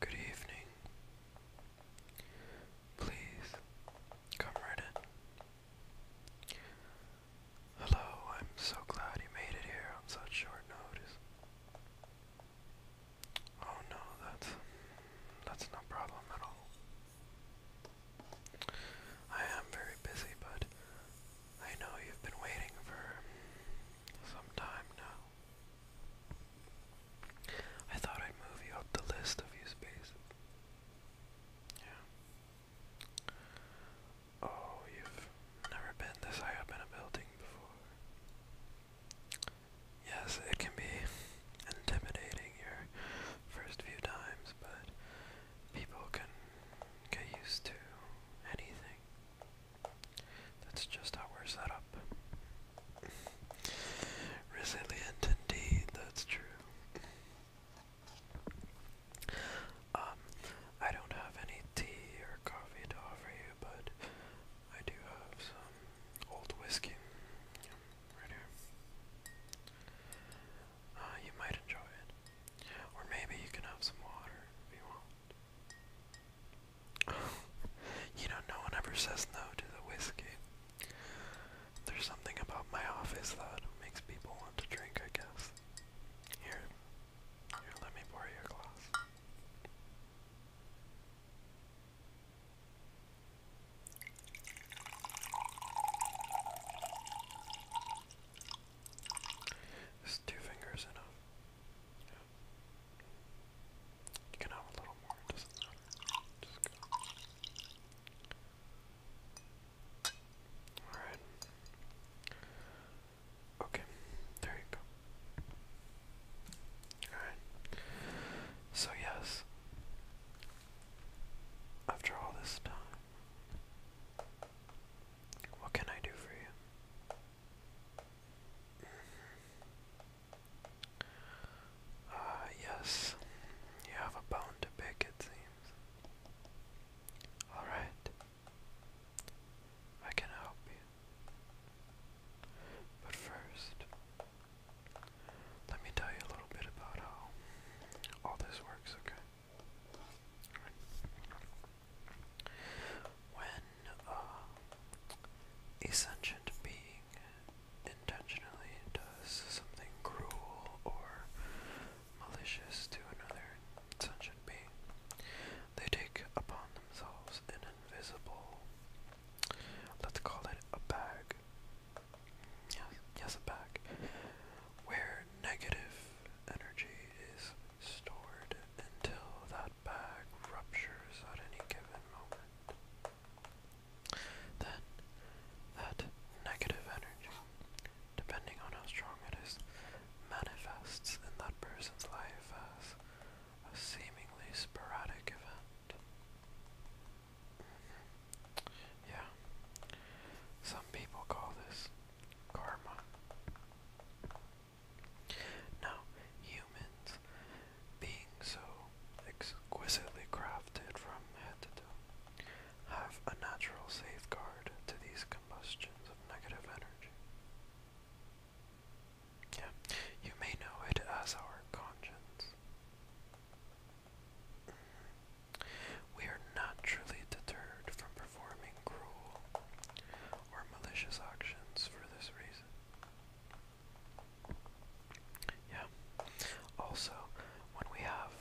Good evening. Please come right in. Hello, I'm so glad you made it here on such short notice. Oh no, that's that's no problem at all. I am very busy, but I know you've been waiting for some time now. I thought I'd move you up the list of you spaces. Yeah. Oh, you've never been this high up in a building before. Yes, it can be intimidating your first few times, but people can get used to anything. That's just how we're set up. Resilient indeed, that's true. Um, I don't have any tea or coffee to offer you, but I do have some old whiskey right here. Uh, you might enjoy it. Or maybe you can have some water if you want you know, no one ever says no to the whiskey. There's something about my office that makes people want to drink, I guess. Here, here, let me borrow your glass. Is two fingers enough? You can have a little more, doesn't matter. Alright. Okay, there you go. Alright. So, yes, after all this time, what can I do for you? Ah, yes. You have a bone to pick, it seems. Alright. I can help you. But first, let me tell you a little bit about how all this works, okay? When uh, a sentient being intentionally does something cruel or malicious to another sentient being, they take upon themselves an invisible, let's call it a bag. Yes, yes, a bag. Where negative energy is stored until that bag ruptures at any given moment. Then, that negative energy, depending on how strong it is, manifests in that person's life as a seemingly sporadic event. Mm-hmm. Yeah. Some people call this karma. Now, humans, being so exquisitely crafted from head to toe, have a natural safeguard to these combustions of negative energy. Yeah, you may know it as our conscience. We are naturally deterred from performing cruel or malicious actions for this reason. Yeah. Also, when we have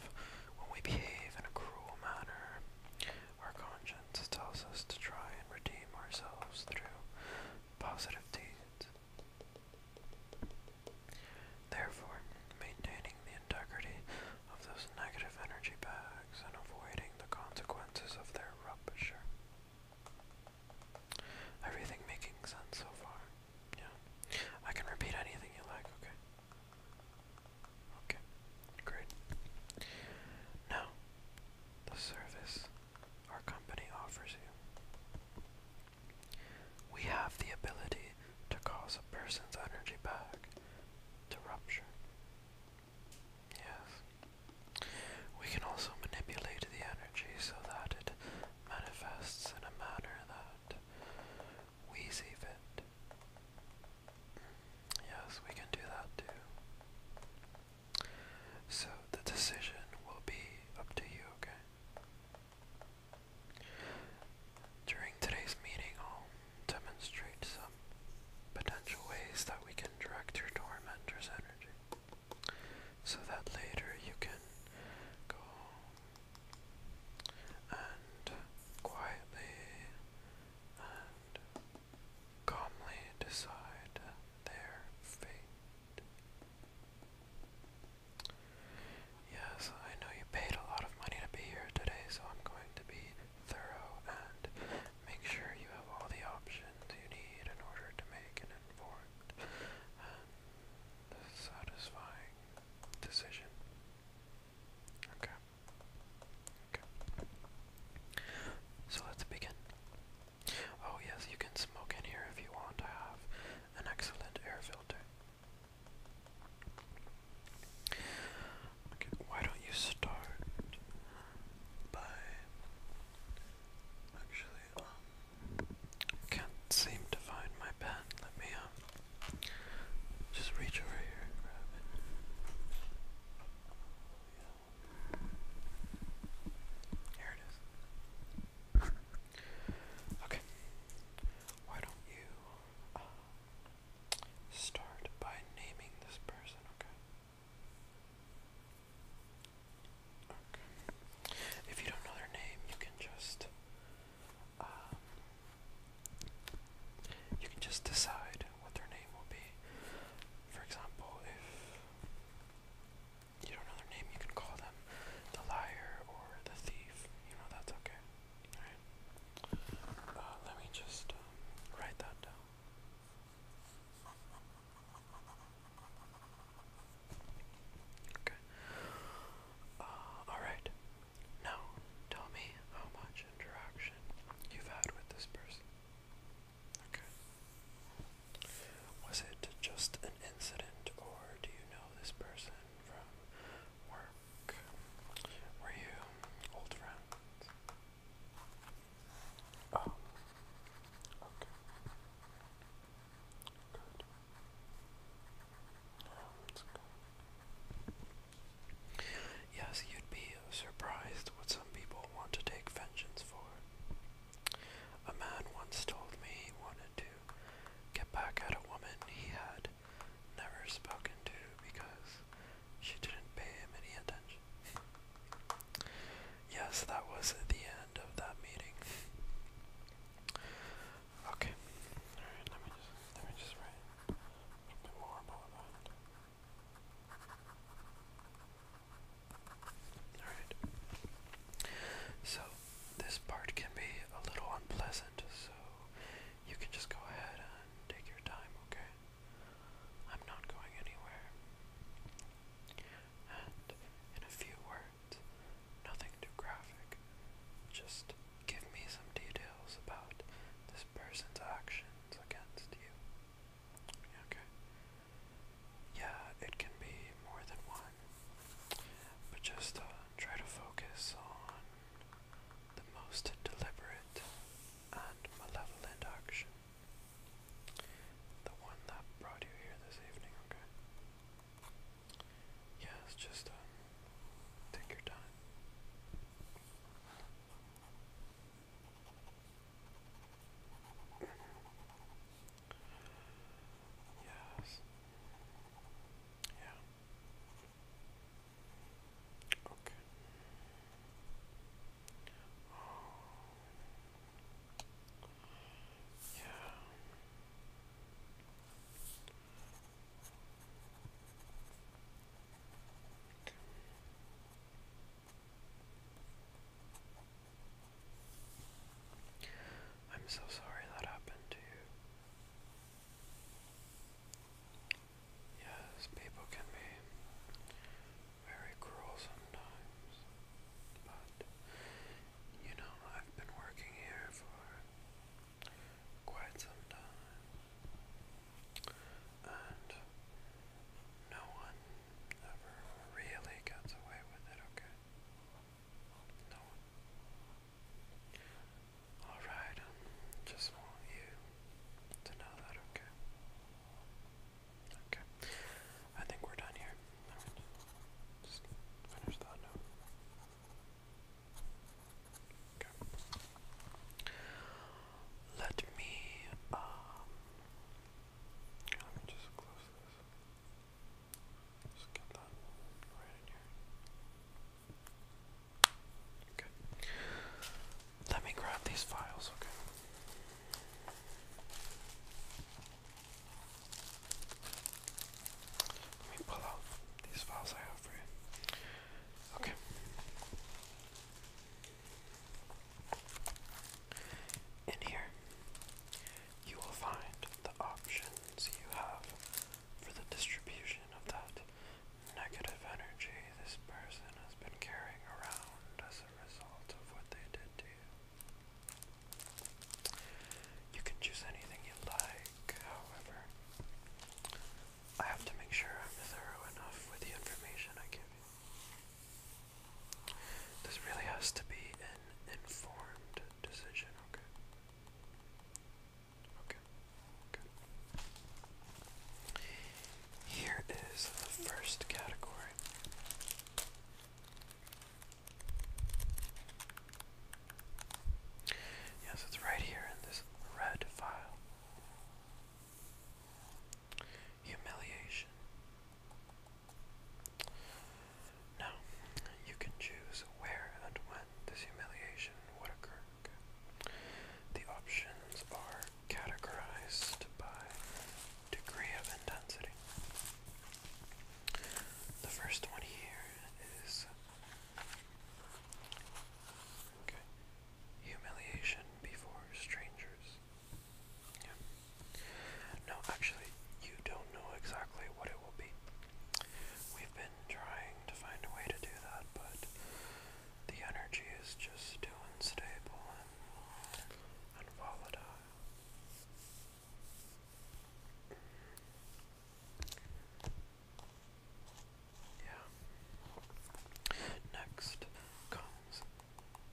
when we behave in a cruel manner, our conscience tells us to try and redeem ourselves through positive deeds. Therefore, maintaining the integrity of those negative energy bags and avoiding the consequences of their rupture. Everything making sense so far. Yeah. I can repeat anything you like, okay? Okay, great. Now, the service our company offers you. We have the ability to cause a person's energy bag to rupture. Yes. We can also manipulate the energy so that it manifests in a manner that we see fit. Yes, we can do that too. So the decision will be up to you, okay? During today's meeting, i demonstrate some potential ways that we can direct your tormentor's energy so that later you can go and quietly and calmly decide their fate. Yes, I know you paid a lot of money to be here today, so I'm going to be thorough, and make sure you have all the options you need in order to make an informed and satisfying decision. Okay. Okay. So let's begin. Oh, yes, you can smoke in here if you want. I have an excellent air filter why don't you start by actually um, can't seem to find my pen. Let me um just reach over here grab it. Here it is. Okay. Why don't you uh, Start by naming this person, okay? Okay. If you don't know their name, you can just um, you can just decide what their name will be. For example, if you don't know their name, you can call them the liar or the thief. You know that's okay. Uh, let me just um, write that down. Okay. Uh, alright. Now, tell me how much interaction you've had with this person. Okay. Was it just an incident, or do you know this person from work were you old friends? Oh. Ah. Okay. Good. Yeah, that's good. Yes, you'd be surprised what some people want to take vengeance for. A man once told me he wanted to get back at a woman he had never spoken to because she didn't pay him any attention. yes, that was the end of that meeting. Okay. Alright, let me just let me just write a more about that. Alright. So this part can be a little unpleasant, so you can just go ahead and take your time, okay? I'm not going anywhere. And in a few words, nothing too graphic, just give me some details about this person's actions against you. Okay? Yeah, it can be more than one, but just uh, try to focus on the most deliberate and Malevolent Action. The one that brought you here this evening, okay? Yes, just um, take your time. yes. Yeah. Okay. Oh. Yeah. Okay. I'm so sorry that happened to you. Yes, people can be very cruel sometimes, but you know, I've been working here for quite some time, and no one ever really gets away with it, okay? Alright, um, just want you to know that, okay? Okay, I think we're done here. just finish that Okay. Let me, um, let me just close this. Just get that right in here. Let me grab these files, okay? Let me pull out these files I have Okay. In here, you will find the options you have for the distribution of that negative energy this person has been carrying around as a result of what they did to you. You can choose anything you like, however, I have to make sure I'm thorough enough with the information I give you. This really has to be an informed decision, okay? Okay. Okay. Here is the first category. Yes, it's right here in this red file. Humiliation. Now, you can choose where and when this humiliation would occur. The options are categorized by degree of intensity. The first one here is humiliation before strangers. No, actually, you don't know exactly what it will be. We've been trying to find a way to do that, but the energy is just too unstable and, and volatile. Yeah. Next comes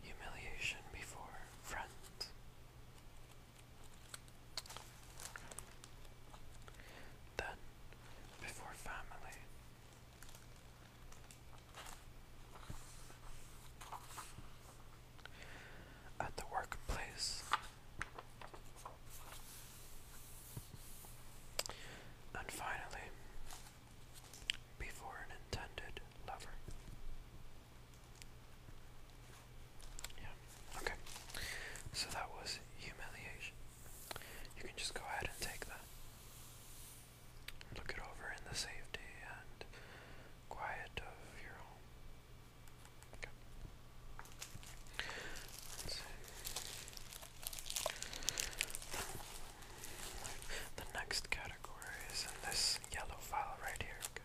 humiliation before friends. Then before family. At the workplace, and finally, before an intended lover. Yeah, okay. So that was humiliation you can just go ahead and take that. Look it over in the safety and quiet of your home. Okay. The next category is in this yellow file right here. Okay.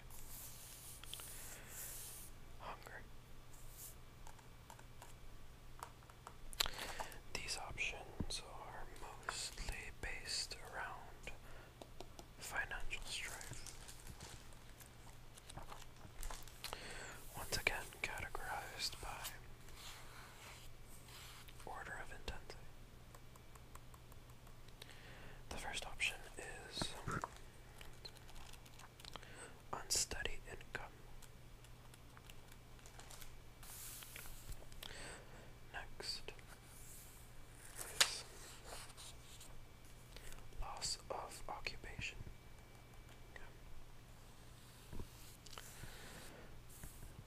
These options are mostly based around financial strife. Once again, categorized by order of intensity. The first option is Unsteady income. Next loss of occupation.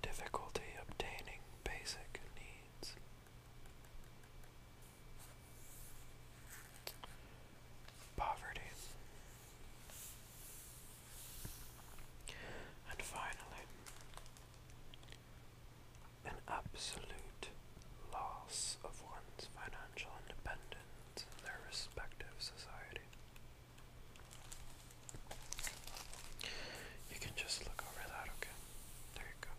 Difficulty obtaining basic needs. Poverty. And finally, an absolute loss of one's financial independence in their respective society. You can just look over that, okay? There you go.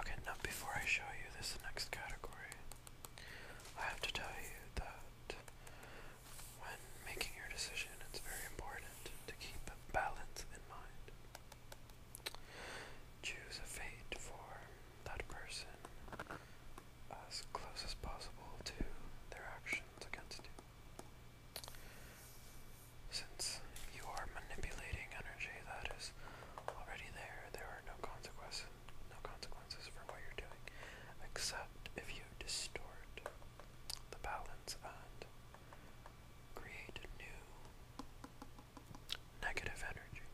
Okay, now before I show you this next category, I have to tell you that when making your decision, it's very important to keep balance in mind. Choose a fate for that person as close as possible to their actions against you. Since you are manipulating energy that is already there, there are no consequences consequences. No consequences for what you're doing, except if you distort the balance and create new negative energy.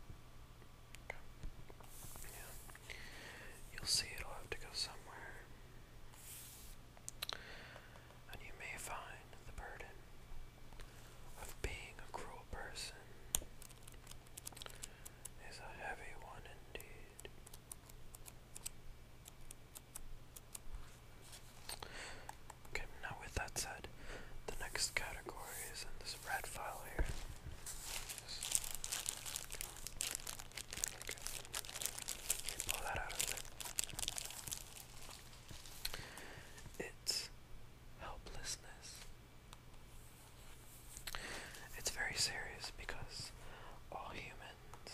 You'll see it'll have to go somewhere. And you may find the burden of being a cruel person is a heavy one indeed. Okay, now with that said, the next category is in this red file here. Pull that out of there. It's helplessness. It's very serious because all humans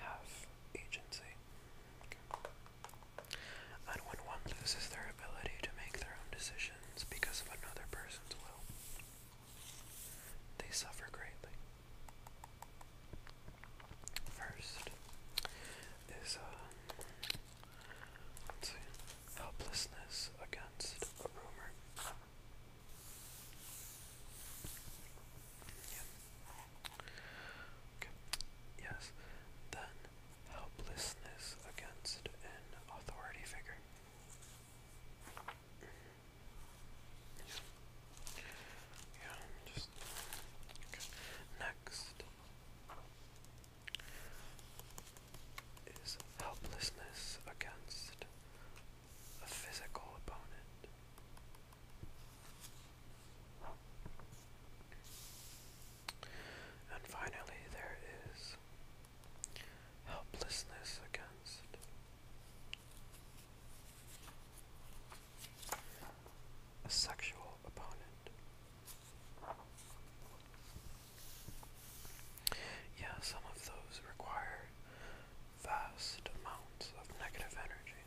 have agency. And when one loses their ability to make their own decisions because of another person's will, they suffer greatly. First is, um, helplessness against a rumor. Yes. Then helplessness against an authority figure. Yeah. just Next is helplessness against a physical opponent. And finally, there is helplessness against a sexual opponent. Yeah, some of those require vast amounts of negative energy.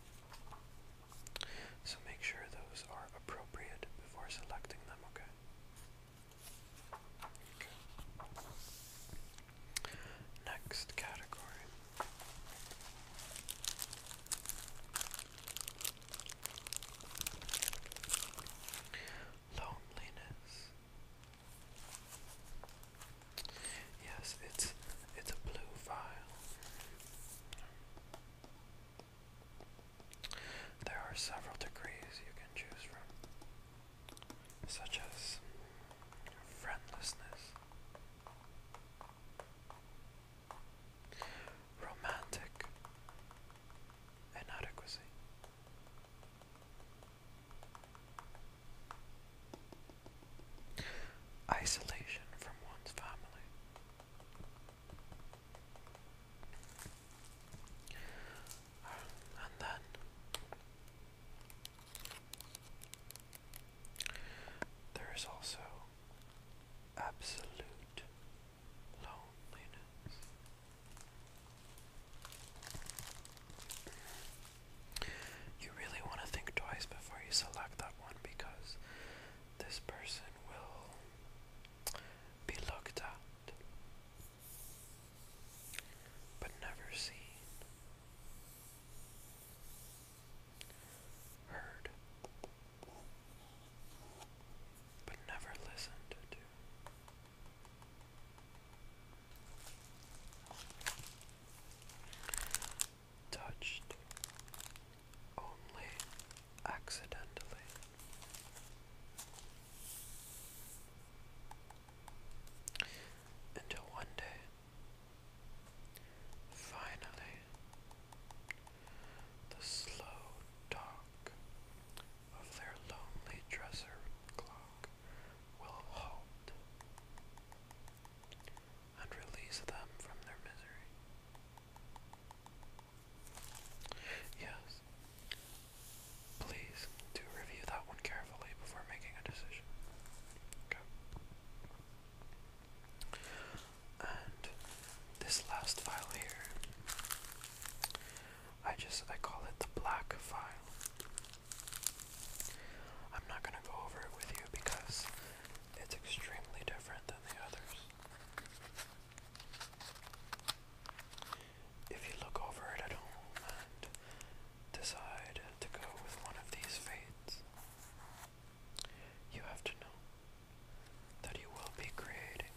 So make sure those are appropriate before selecting them, okay? Next category loneliness. Yes, it's it's a blue vial. There are several degrees you can choose from, such as friendlessness, romantic, inadequacy. Isolation from one's family. And then there is also absolute loneliness. You really want to think twice before you select that one because this person will be looked at but never seen. Heard, but never listened to. Touched only accidentally. Until one day, finally, the slow dark of their lonely dresser clock will halt and release them from their misery. Yes. Please do review that one carefully before making a decision. And this last file here I just I call it the black file. I'm not gonna go over it with you because it's extremely different than the others. If you look over it at home and decide to go with one of these fades, you have to know that you will be creating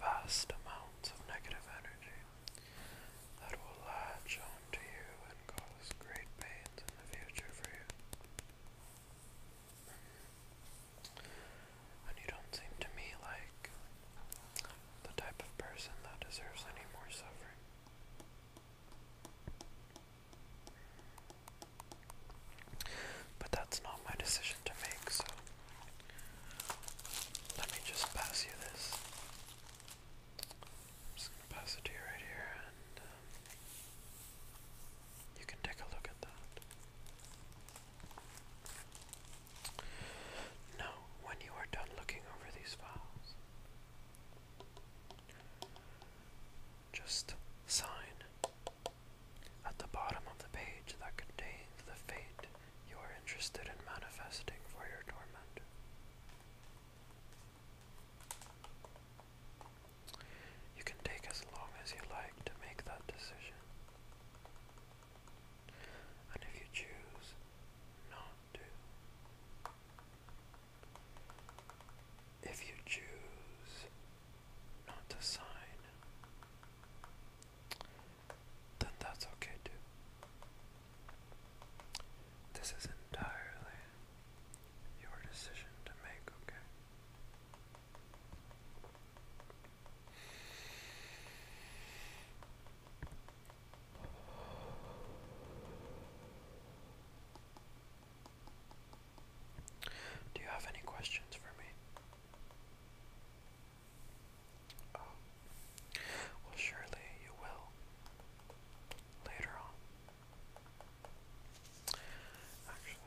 vast amounts of negative energy that will latch onto you and cause great pains in the future for you. And you don't seem to me like the type of person that deserves any more suffering. But that's not my decision to make, so let me just pass you this. just pass it to you right here, and um, you can take a look at that. Now, when you are done looking over these files, just sign at the bottom of the page that contains the fate you are interested in manifesting for your torment. You can take as long as you like to make that decision. And if you choose not to, if you choose not to sign, then that's okay too. This is entirely your decision to make, okay? Do you have any questions for me? Oh. Well, surely you will later on. Actually,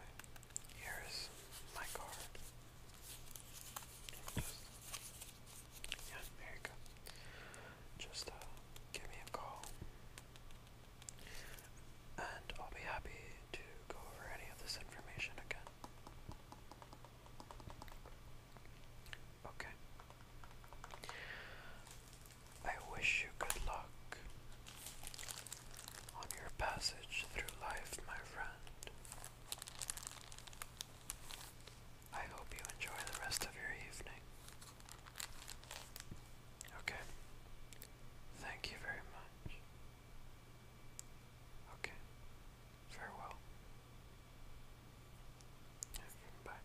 here is my card. Just, yeah, there you Just uh, give me a call and I'll be happy to go over any of this information again. Okay. I wish you good luck on your passage through life, my friend. I hope you enjoy the rest of your evening. Okay. Thank you very much. Okay. Farewell. Bye.